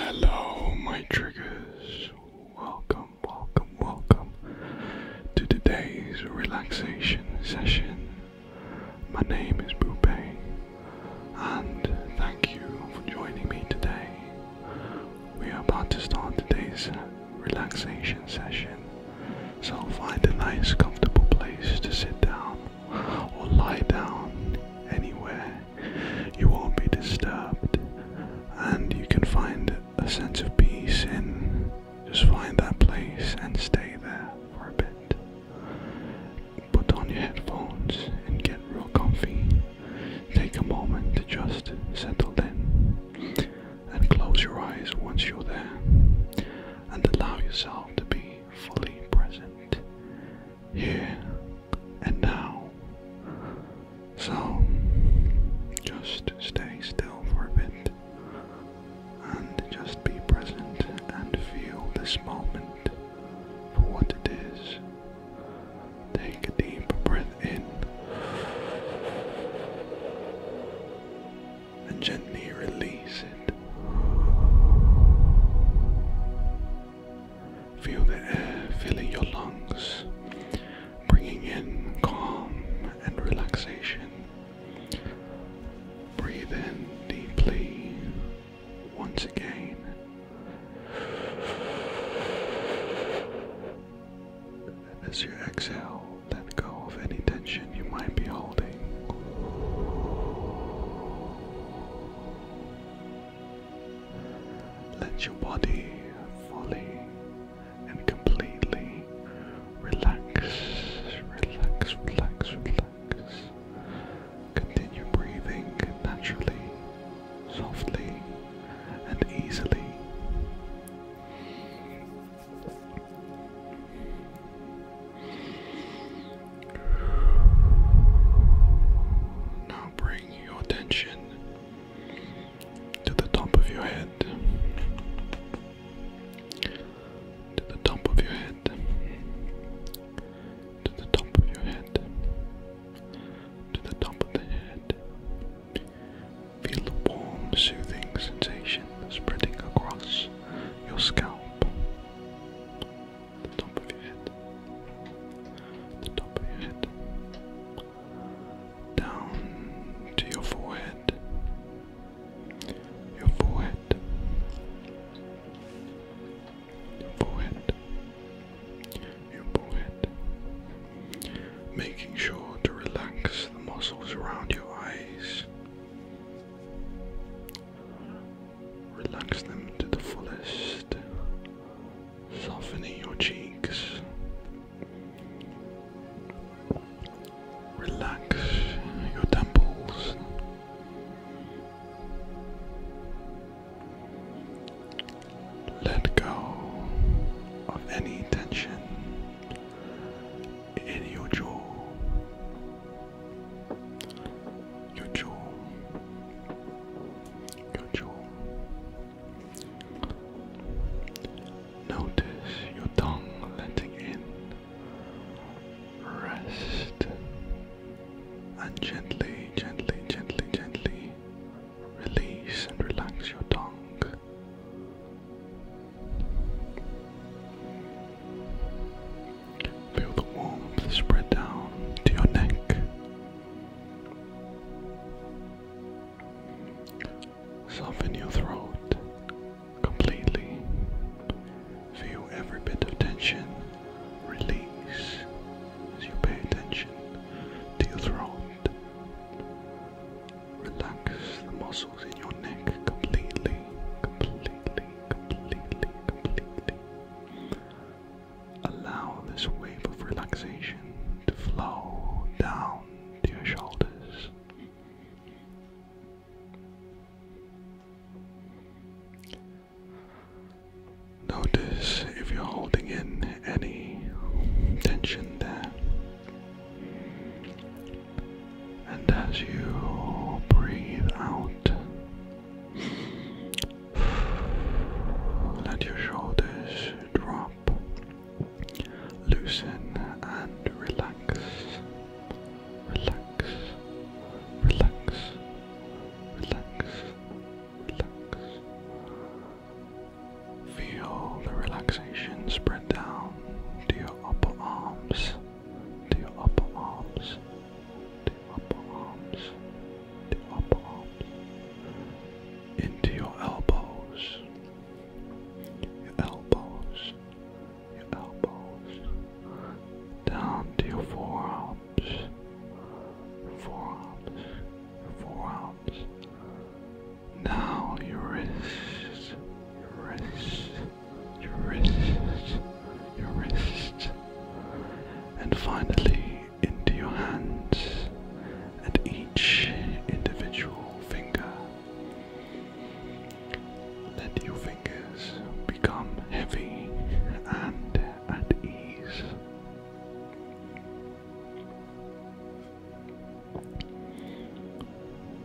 Hello, my triggers. Welcome, welcome, welcome to today's relaxation session. My name is Boupé, and thank you for joining me today. We are about to start today's relaxation session, so find a nice, comfortable place to sit down or lie down anywhere you won't be disturbed, and you can find a sense of peace in just find that place and stay there for a bit. Put on your headphones and get real comfy. Take a moment to just settle in and close your eyes once you're there and allow yourself to be fully present here and now. So just stay still for a bit and just be present and feel this moment for what it is. Take a deep breath in and gently release it. Feel the air filling your lungs, bringing in calm and relaxation. Breathe in deeply once again. as you exhale, let go of any tension you might be holding. Let your body fully and completely relax, relax, relax, relax. Continue breathing naturally, softly, and easily. now breathe bring your attention to the top of your head. To the top of your head. To the top of your head. To the top of the head. Feel the warm, soothing sensation spreading across your scalp the top of your head, the top of your head, down to your forehead, your forehead, your forehead, your forehead, making sure to relax the muscles around your eyes. Relax them to the fullest, softening your cheeks. Relax your temples. Let go of any tension in your jaw. Your jaw your jaw. Notice your tongue letting in, rest, and gently, gently, gently, gently release and relax your tongue. Feel the warmth spread down to your neck Soften your throat completely. Feel every bit of tension release as you pay attention to your throat. Relax the muscles in your neck completely, completely, completely, completely. Allow this wave of relaxation to flow down to your shoulders. Notice if you're holding in any tension there. And as you breathe out, let your shoulders drop, loosen and relax. Relax, relax, relax, relax. Feel the relaxation spread down to your upper arms, to your upper arms, up your arms, two your arms, into your elbows, your elbows, your elbows, down to your forearms, forearms, forearms. Now your wrists, your wrists, your wrists, your wrists and finally into your hands and each individual finger. Let your fingers become heavy and at ease.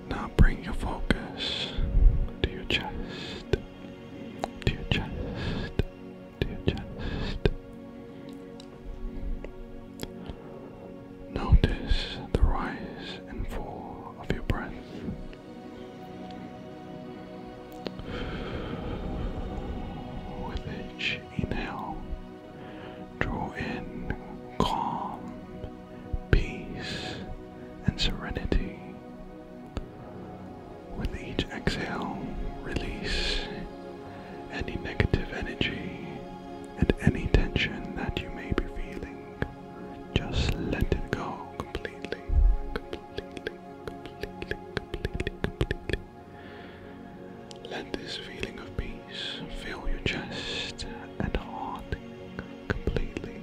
Now bring your focus to your chest, to your chest, to chest. Notice the rise and fall of your breath. With each inhale, draw in calm, peace, and serenity with each exhale, release any negative energy and any tension that you may be feeling. Just let it go completely, completely, completely, completely, completely. Let this feeling of peace fill your chest and heart completely.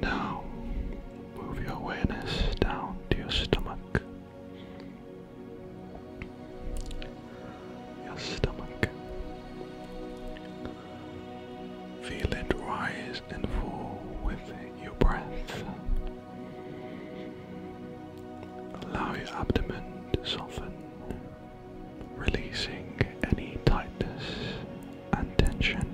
Now, move your awareness down to your stomach. Your stomach. Feel it rise and fall with your breath. Allow your abdomen to soften, releasing any tightness and tension.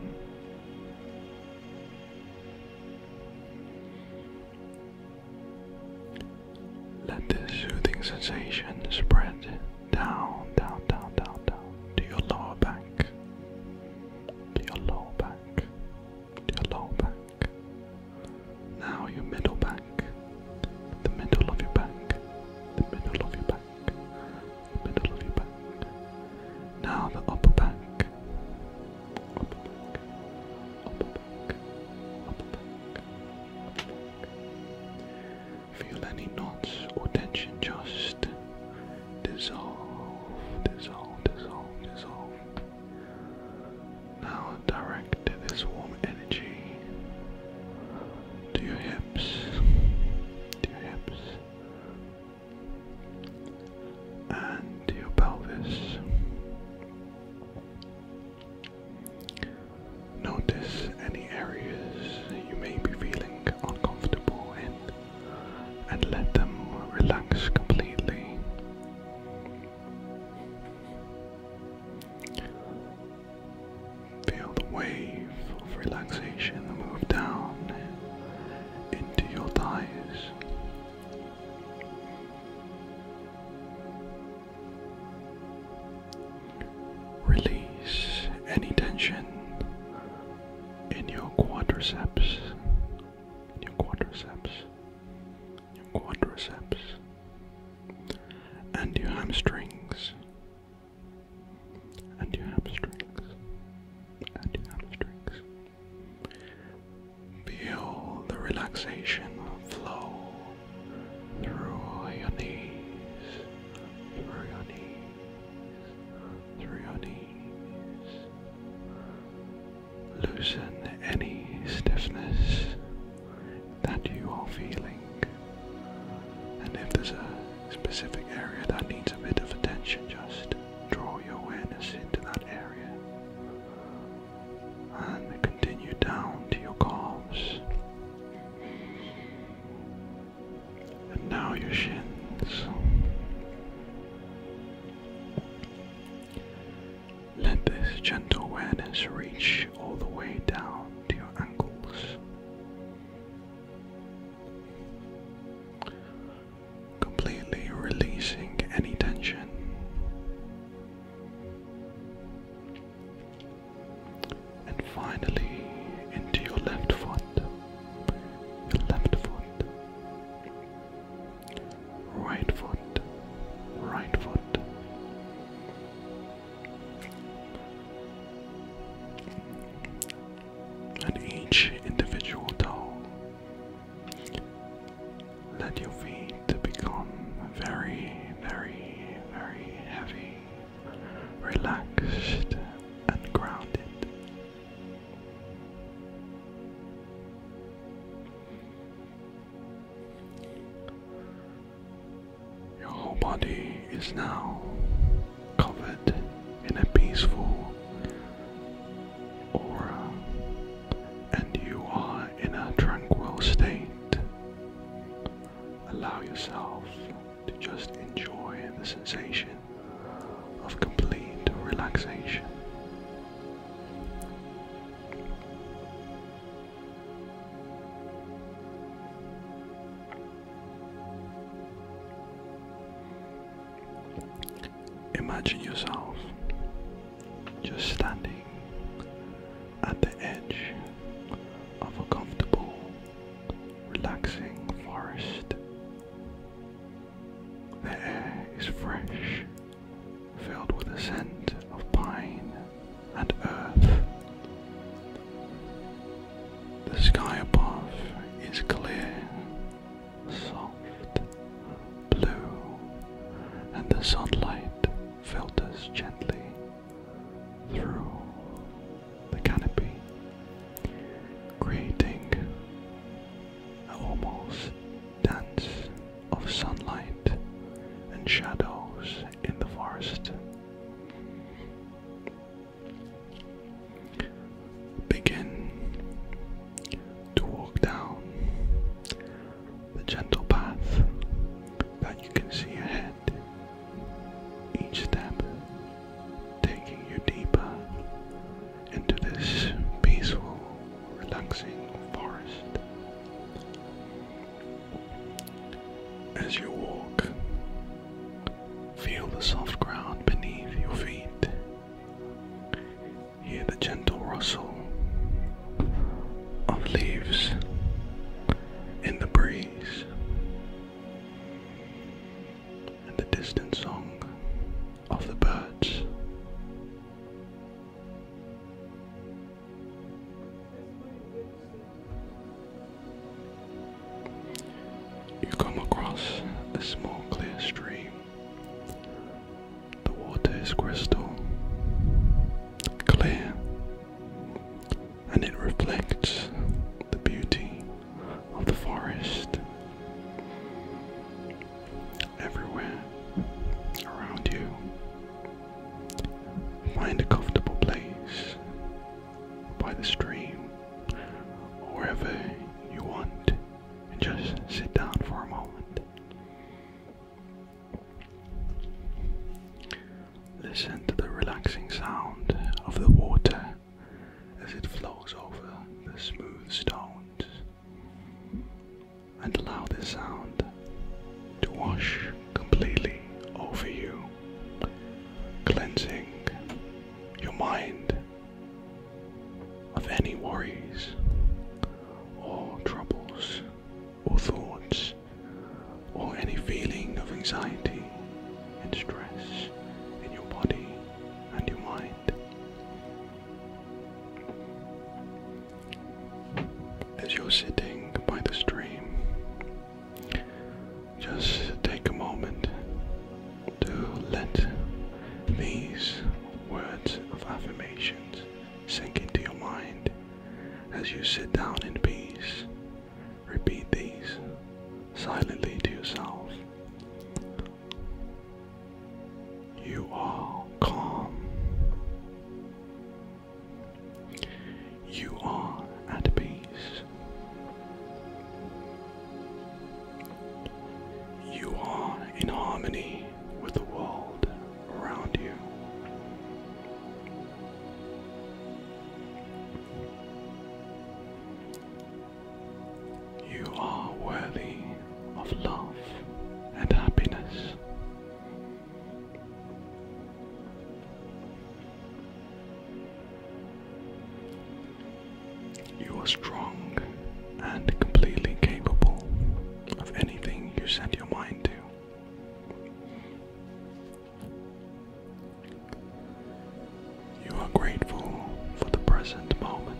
Let this soothing sensation spread down, down, down, down, down to your lower back, to your lower back, to your lower back. Now your middle back, the middle of your back, the middle of your back back, middle of your back. Now the upper back, upper back, upper back, upper back, upper back. Feel any knots or tension just dissolve, dissolve, dissolve, dissolve. Now direct this warm energy to your hips, to your hips, and your pelvis. Notice any areas you may be feeling uncomfortable in and let them relax completely. Feel the wave of relaxation move down into your thighs. Release any tension in your quadriceps, in your quadriceps, your quadriceps, and your hamstrings and your hamstrings, and your hamstrings. Feel the relaxation flow through your knees, through your knees, through your knees. Loosen any stiffness that you are feeling, and if there's a specific area that needs a bit of attention, just draw your awareness into that area and continue down to your calves. And now your shins. Let this gentle awareness reach all the way down to your ankles completely releasing any tension. And finally, into your left foot, your left foot, right foot, right foot and each individual toe. Let your feet become very, very, very heavy, relaxed, and grounded. Your whole body is now covered in a peaceful aura, and you are in a tranquil state. Allow yourself to just enjoy the sensation of complete relaxation. Imagine yourself just standing at the edge of a comfortable, relaxing forest. The air is fresh, filled with the scent of pine and earth. The sky above is clear, soft, blue, and the sunlight filters gently through the canopy, creating an almost dance of sunlight and shadows in the forest. Begin to walk down the gentle path that you can see ahead, each step taking you deeper into this peaceful, relaxing forest. As you walk, Feel the soft ground beneath your feet. Hear the gentle rustle of leaves in the breeze. And the distant song of the birds. You come across a small clear stream. The water is crystal clear and it reflects the beauty of the forest. Everywhere around you, find a comfortable place by the stream, wherever you want, and just sit down for a moment. Listen to the relaxing sound of the water as it flows over the smooth stones, and allow the sound to wash completely over you cleansing your mind of any worries or troubles or thoughts or any feeling of anxiety and stress in your body and your mind. As you're sitting by the stream, just take a moment to let these words of affirmations sink into your mind as you sit down in peace. Repeat these silently to yourself. You are calm. You are at peace. You are in harmony with the world around you. You are worthy of love and happiness. You are strong and completely capable of anything you set your mind to. You are grateful for the present moment.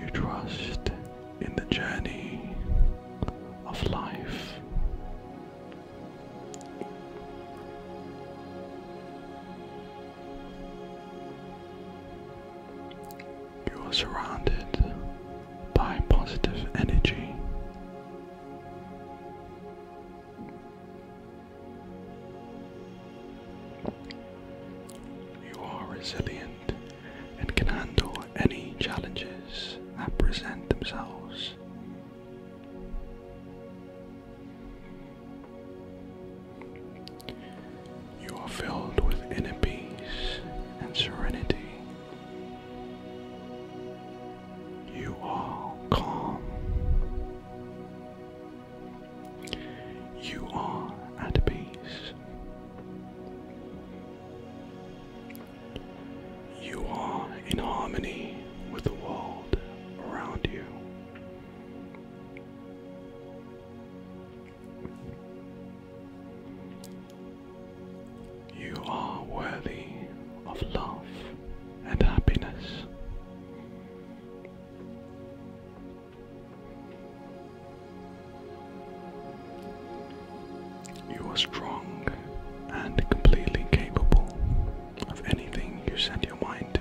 You trust in the journey of life. You are surrounded by positive energy. You are resilient and can handle any challenges that present themselves. You are filled with inner peace and serenity. You are calm. You are at peace. You are in harmony with the world around you. You are worthy of love and happiness. You are strong and completely capable of anything you set your mind to.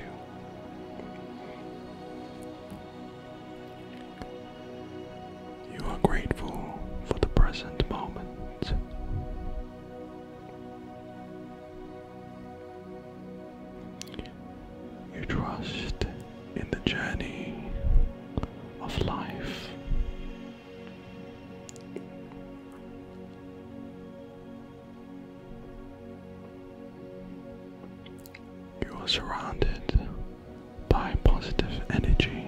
You are grateful for the present moment. You trust in the journey of life. You are surrounded by positive energy.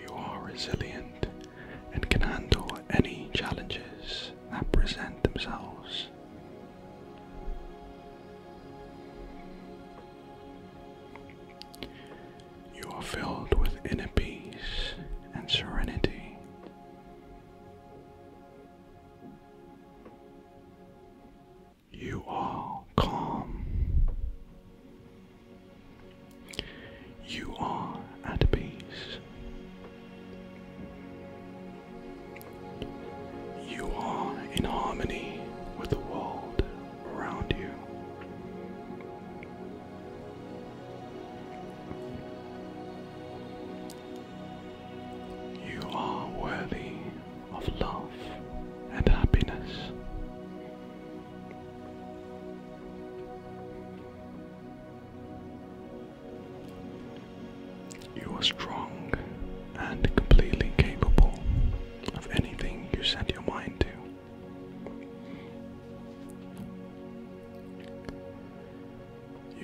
You are resilient and can handle any challenges that present themselves. You are filled with inner peace and serenity. You are calm you are at peace. You are in harmony with the world around you. You are worthy of love and happiness. You are strong and completely capable of anything you set your mind to.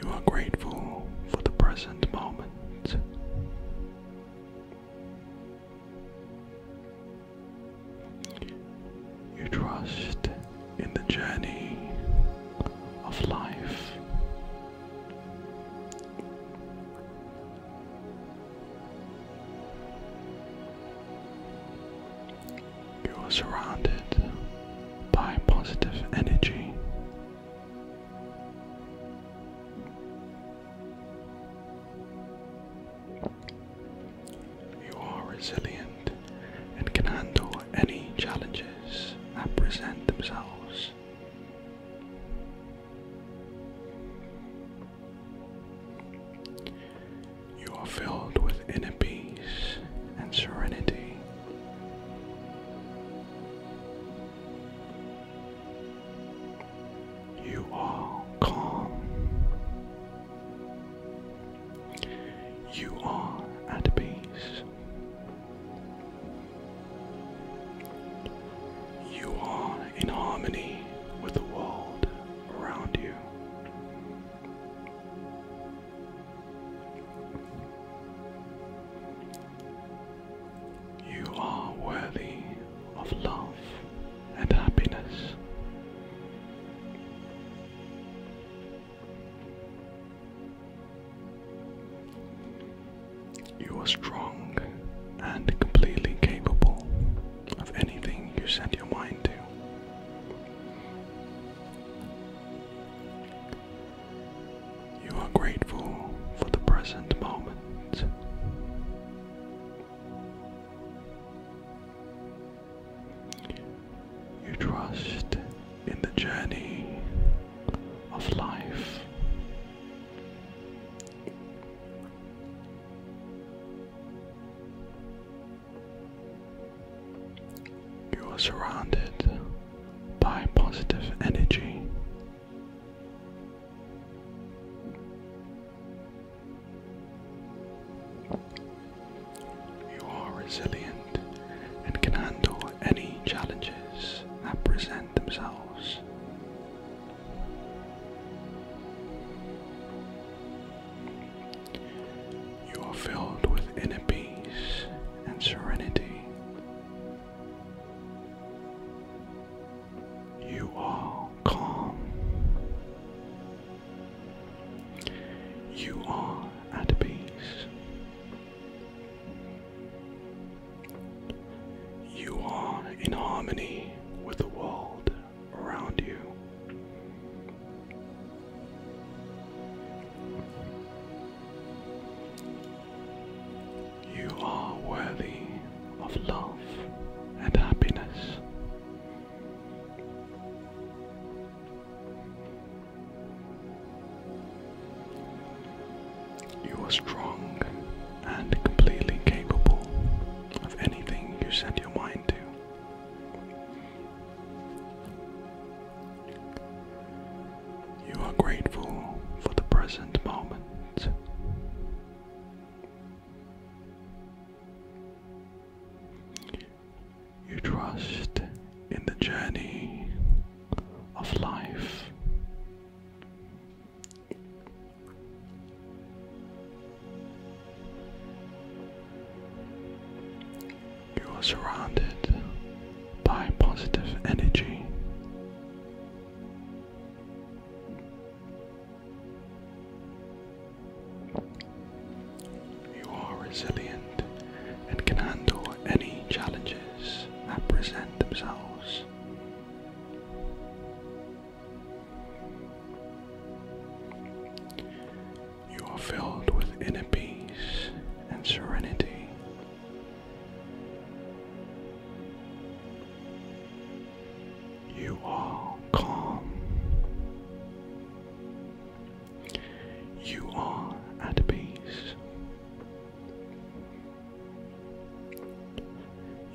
You are grateful for the present moment. You trust in the journey of life. You are surrounded by positive energy. You are resilient and can handle any challenges that present themselves. You are filled with inner peace and serenity. You are calm you are at peace. You are in harmony with the world around you. You are worthy of love and happiness. You are strong and completely capable of anything you set your mind to. You are grateful for the present moment. You trust in the journey of life. You are surrounded by positive energy. You are resilient and can handle any challenges that present themselves. You are filled with inner peace and serenity. You are calm you are at peace. You are in harmony with the world around you. You are worthy of love and happiness. You are strong and completely capable of anything you set your mind to. You are grateful for the present moment you trust in the journey of life. You are surrounded by positive energy. You are resilient and can handle any challenges that present themselves. You are filled with inner peace and serenity. You are calm. You are at peace.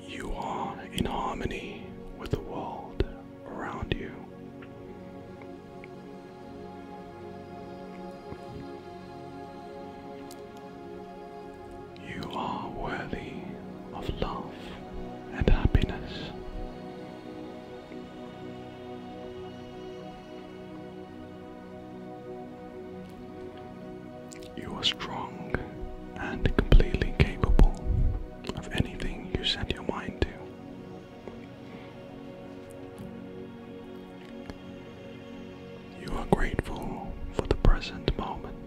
You are in harmony with the world around you. You are worthy of love and happiness. You are strong and completely capable of anything you set your mind to. You are grateful for the present moment.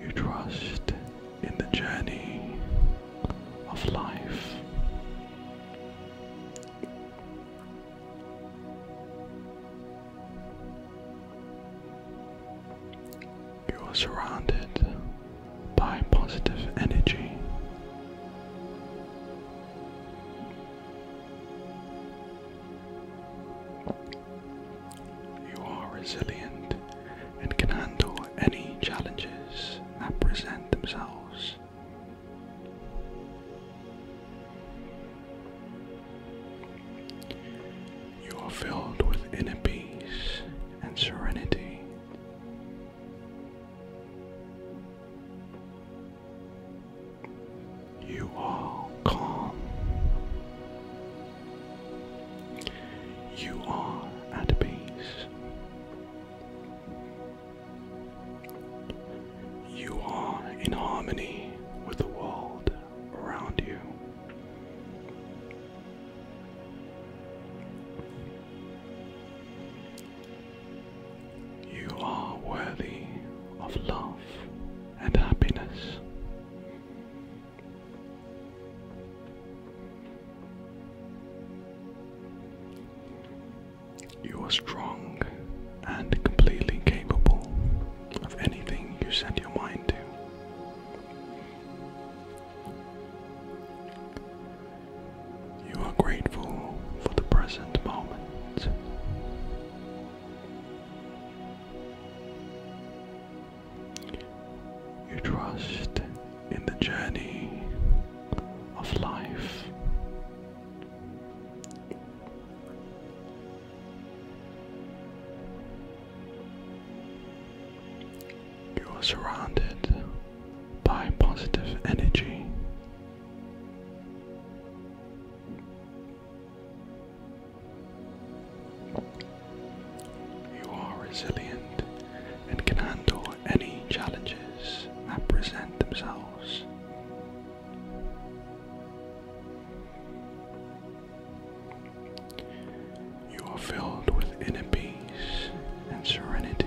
You trust in the journey of life. You are surrounded by positive energy. You are resilient and can handle any challenges that present themselves. You are filled with inner peace and serenity. You are calm. You are at peace. You are in harmony with the world around you. You are worthy of love and happiness. You are strong and completely capable of anything you set your mind to. You are grateful for the present moment. You trust in the journey of life. You are surrounded by positive energy. You are resilient and can handle any challenges that present themselves. You are filled with inner peace and serenity.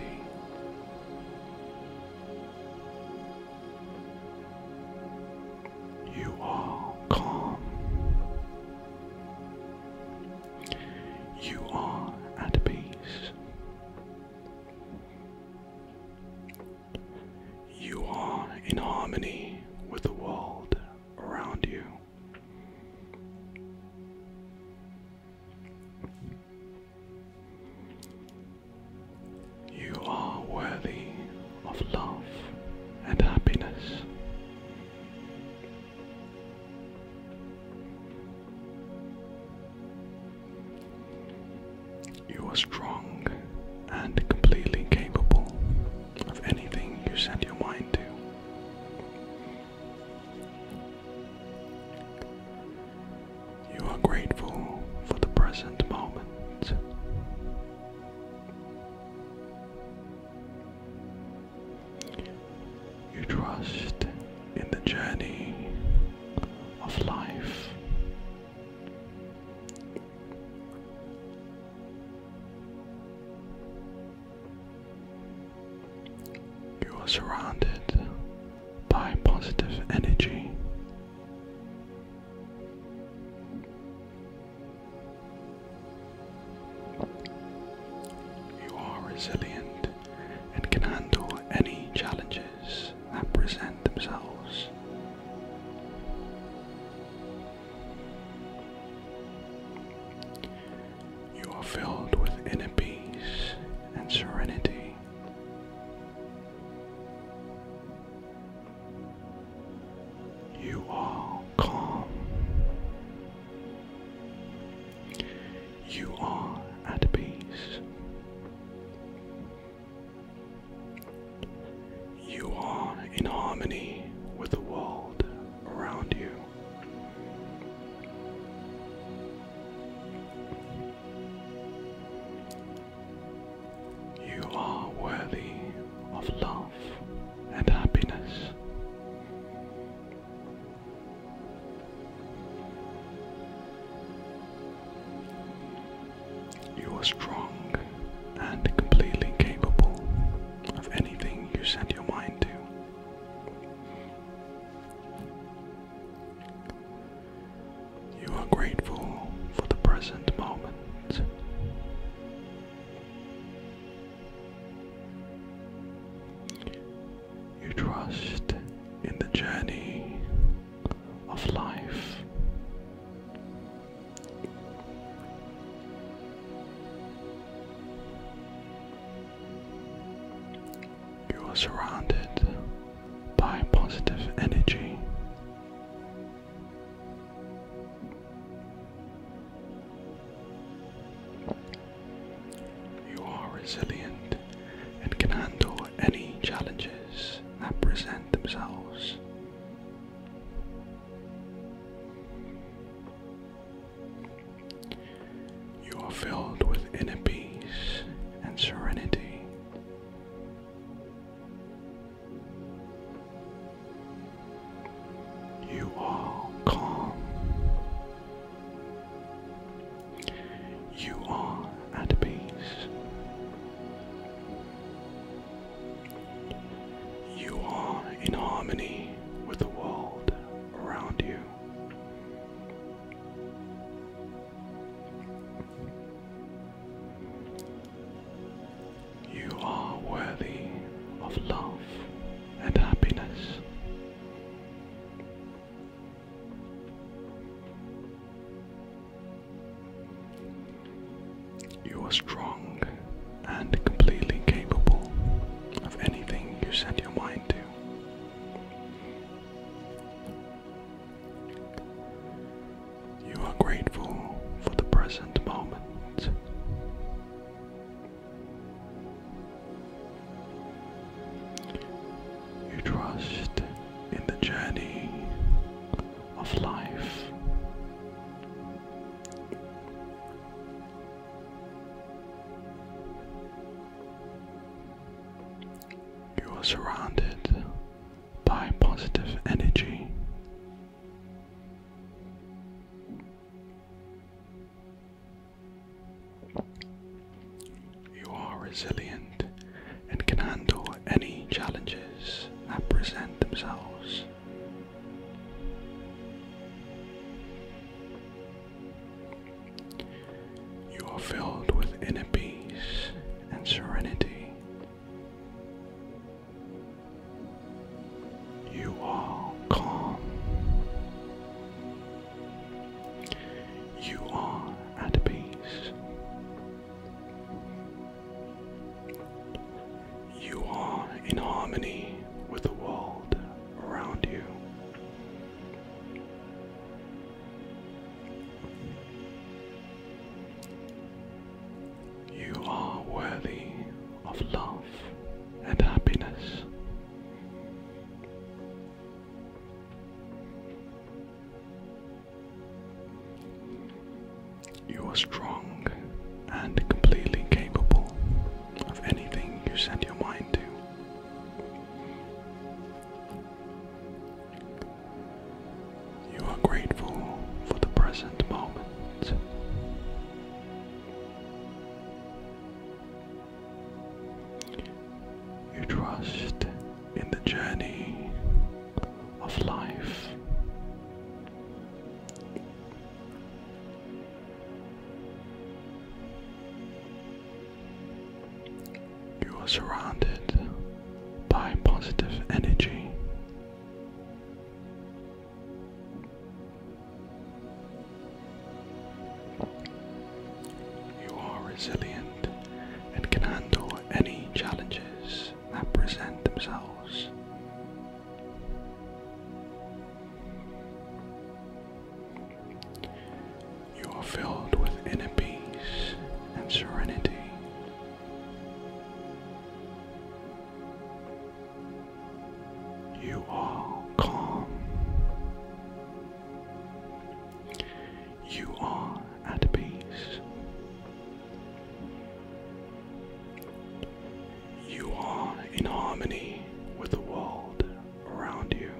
You are calm. You are at peace. You are in harmony with the world around you. You are worthy of love and happiness. You are strong and completely capable of anything you set your mind to. You are grateful for the present moment. You trust in the journey of life. You are surrounded by positive energy. You are resilient and can handle any challenges that present themselves. You are filled with inner peace and serenity. You are calm. You are at peace. You are in harmony with the world around you. You are worthy of love and happiness. You are strong and completely capable of anything you set your mind to. You are grateful for the present moment. You trust in the journey of life. You are surrounded by positive energy. You are resilient and can handle any challenges that present themselves. You are filled with inner peace and serenity. You are calm. You are at peace. You are in harmony with the world around you. You are worthy of love and happiness. You are strong and completely capable of anything you set your mind to. You are grateful for the present moment. You trust in the journey of life. You are surrounded by positive energy. You are resilient and can handle any challenges that present themselves. You are filled with inner peace and serenity you are calm. You are at peace. You are in harmony with the world around you. You are worthy of love and happiness. You are strong and completely capable of anything you set your mind to. You are grateful for the present moment. You trust in the journey of life. You are surrounded by positive energy. You are resilient and can handle any challenges that present themselves. You are filled with inner peace and serenity. You are calm. You are at peace. You are in harmony with the world around you.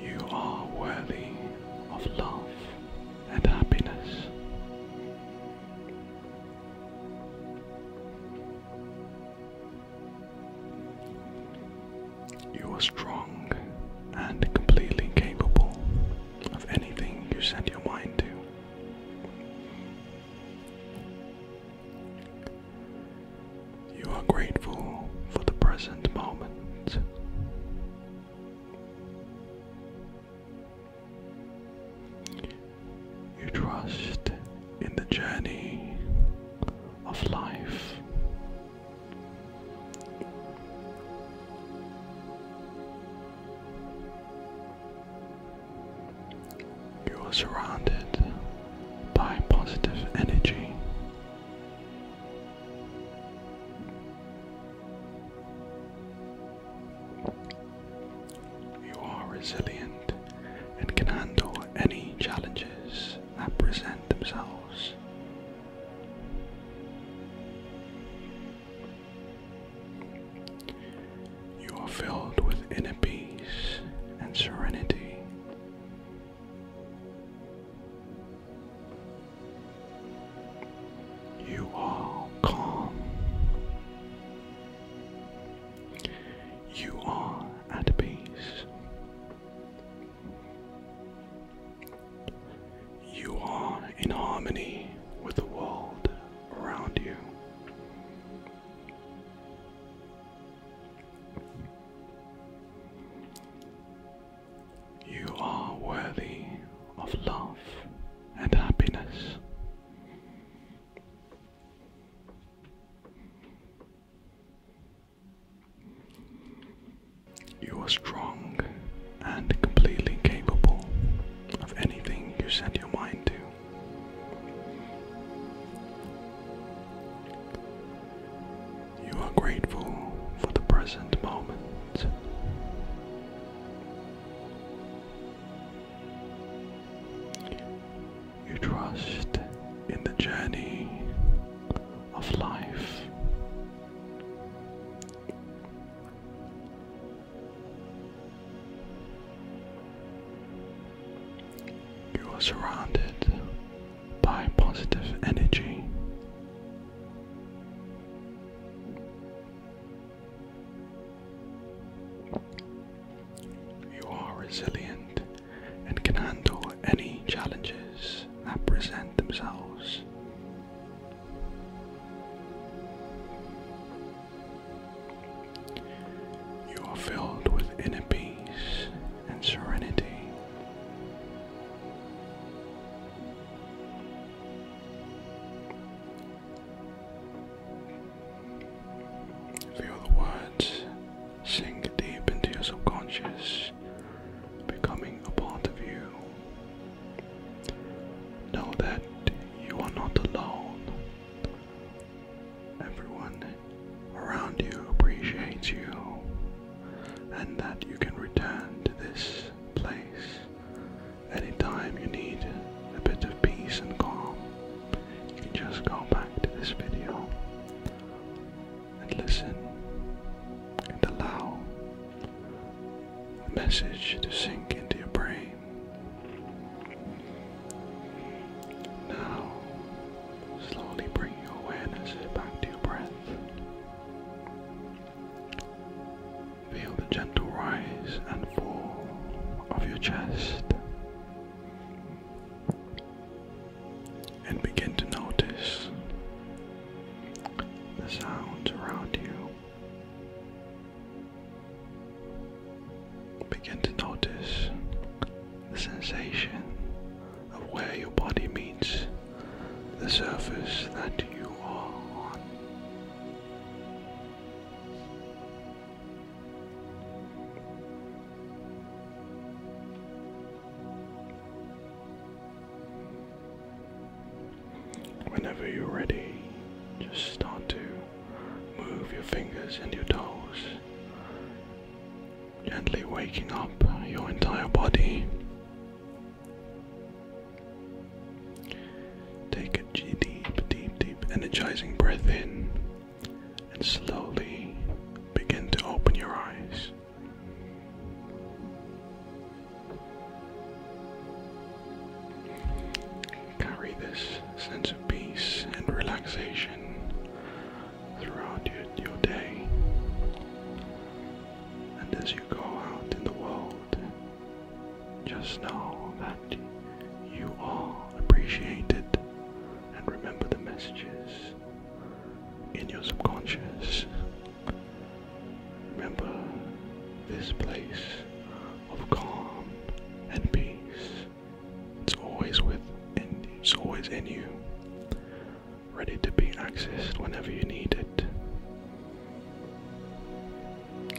You are worthy of love and happiness. You are strong and completely capable of anything you set your mind to. You are grateful for the present moment. You trust in the journey of life. You are surrounded by positive energy. You are resilient and can handle any challenges that present themselves. You are filled with inner peace and serenity. You are calm. You are at peace. You are in harmony with the world around you. You are worthy of love and happiness. You are strong and completely capable of anything you set your mind to. You are grateful for the present moment. You trust in the journey of life. You are surrounded by positive energy. You are resilient and can handle any challenges that present themselves. You are filled with inner peace and serenity. Feel the words sink deep into your subconscious, becoming a part of you. Know that you are not alone. Everyone around you appreciates you and that you can return to this place anytime you need a bit of peace and calm. You can just go back to this video and listen and allow the message to sink into your brain. Now, slowly bring your awareness back to your breath. Feel the gentle rise and fall of your chest. And begin to notice the sounds around you. Begin to notice the sensation of where your body meets the surface that you are on. Whenever you're ready, just start to move your fingers and your toes gently waking up your entire body. Take a deep, deep, deep, energizing breath in and slowly begin to open your eyes. Carry this sense of peace and relaxation throughout your, day. And as you go out in the world, just know that you all appreciate it, and remember the messages in your subconscious. Remember this place of calm and peace. It's always with and it's always in you, ready to be accessed whenever you need it.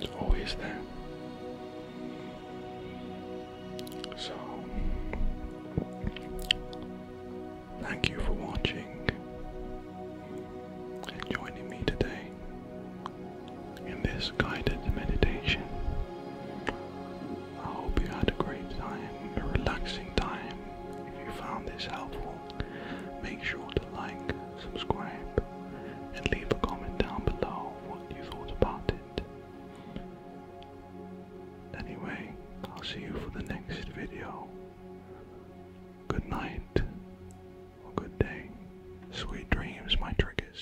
It's always there. So, thank you for watching and joining me today in this guided meditation. I hope you had a great time, a relaxing time. If you found this helpful, make sure to like, subscribe, and leave a comment down below what you thought about it. Anyway, I'll see you for the next video. Good night, or good day. Sweet dreams, my triggers.